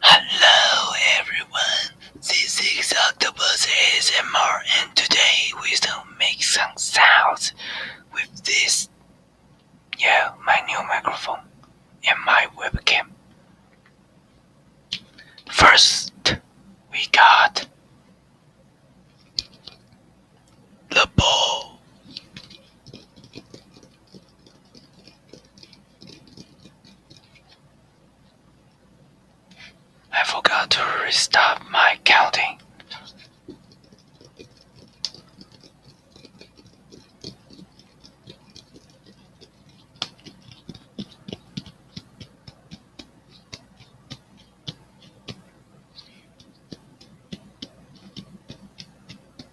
Hello everyone, this is Octopus ASMR and today we will make some sounds with this, yeah, my new microphone and my webcam. First, we got the ball. I forgot to restart my counting.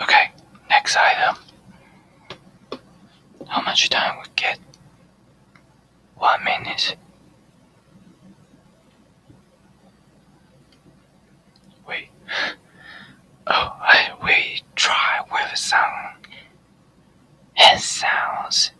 Okay, next item. How much time we get? One minute. We, oh, we try with some and sounds.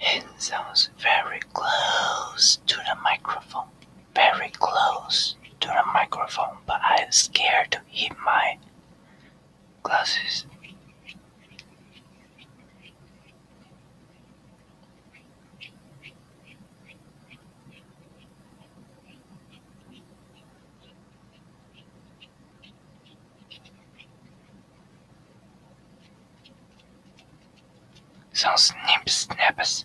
It sounds very close to the microphone. Very close to the microphone, but I'm scared to hit my glasses. Those whippersnappers!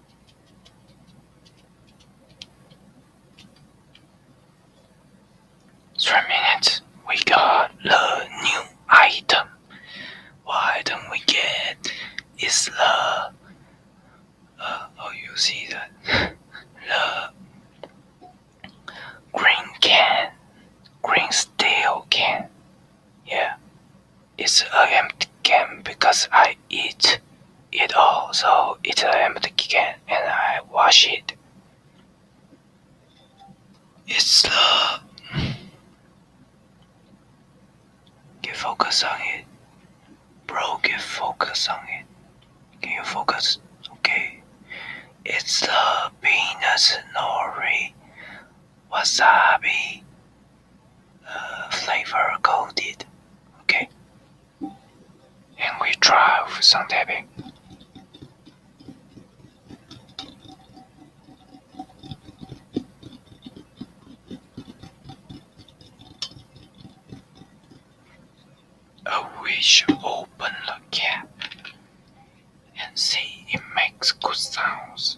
Three minutes. We got the new item. Why don't we get? It's the. Uh, oh, you see that? the green can, green steel can. Yeah, it's a empty can because I eat it all, so it's an empty can and I wash it. It's the uh, Get focus on it. Bro, get focus on it. Can you focus? Okay. It's the peanut nori wasabi flavor coated, Okay, and we try some tapping. Oh, we open the cap and see it makes good sounds.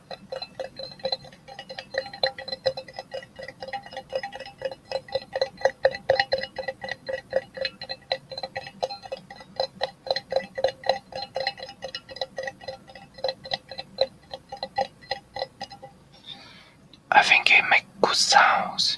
I think it makes good sounds.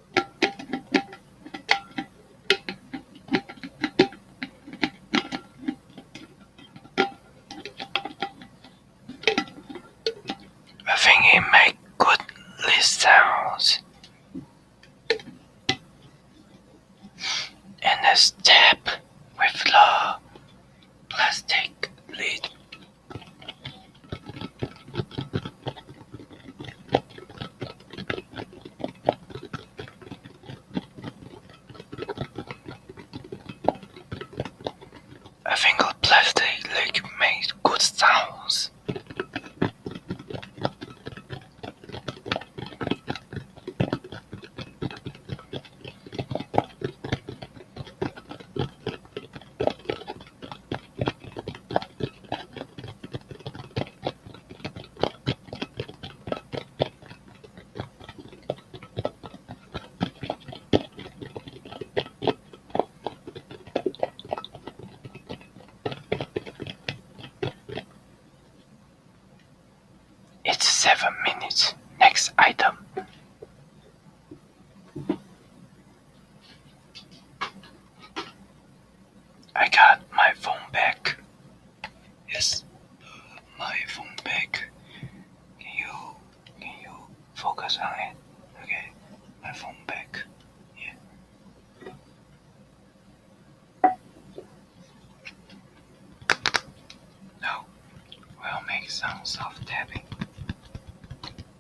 I think he makes good list sounds. And a step with the plastic lid. I think old plastic like made good sounds. It's seven minutes. Next item. I got my phone back. Yes, my phone back. Can you can you focus on it? Okay, my phone back. Yeah. Now we'll make some soft tapping.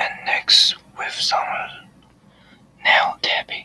And next with some nail tapping.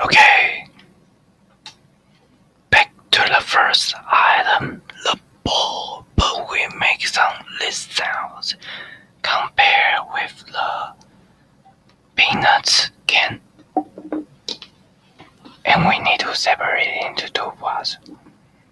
Okay. Back to the first item, the ball, but we make some less sounds. compared with the peanuts can. And we need to separate it into two parts.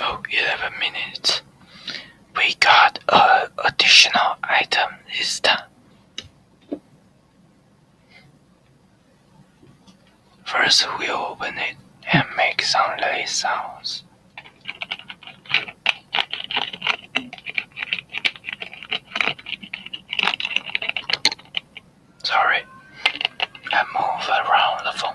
Oh, 11 minutes. We got a additional item this time. First, we open it and make some light sounds. Sorry, I move around the phone.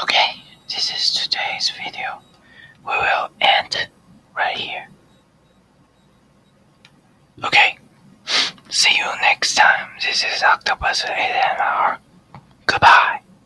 Okay, this is today's video. We will end right here. Okay, see you next time. This is Octopus AMR. Goodbye.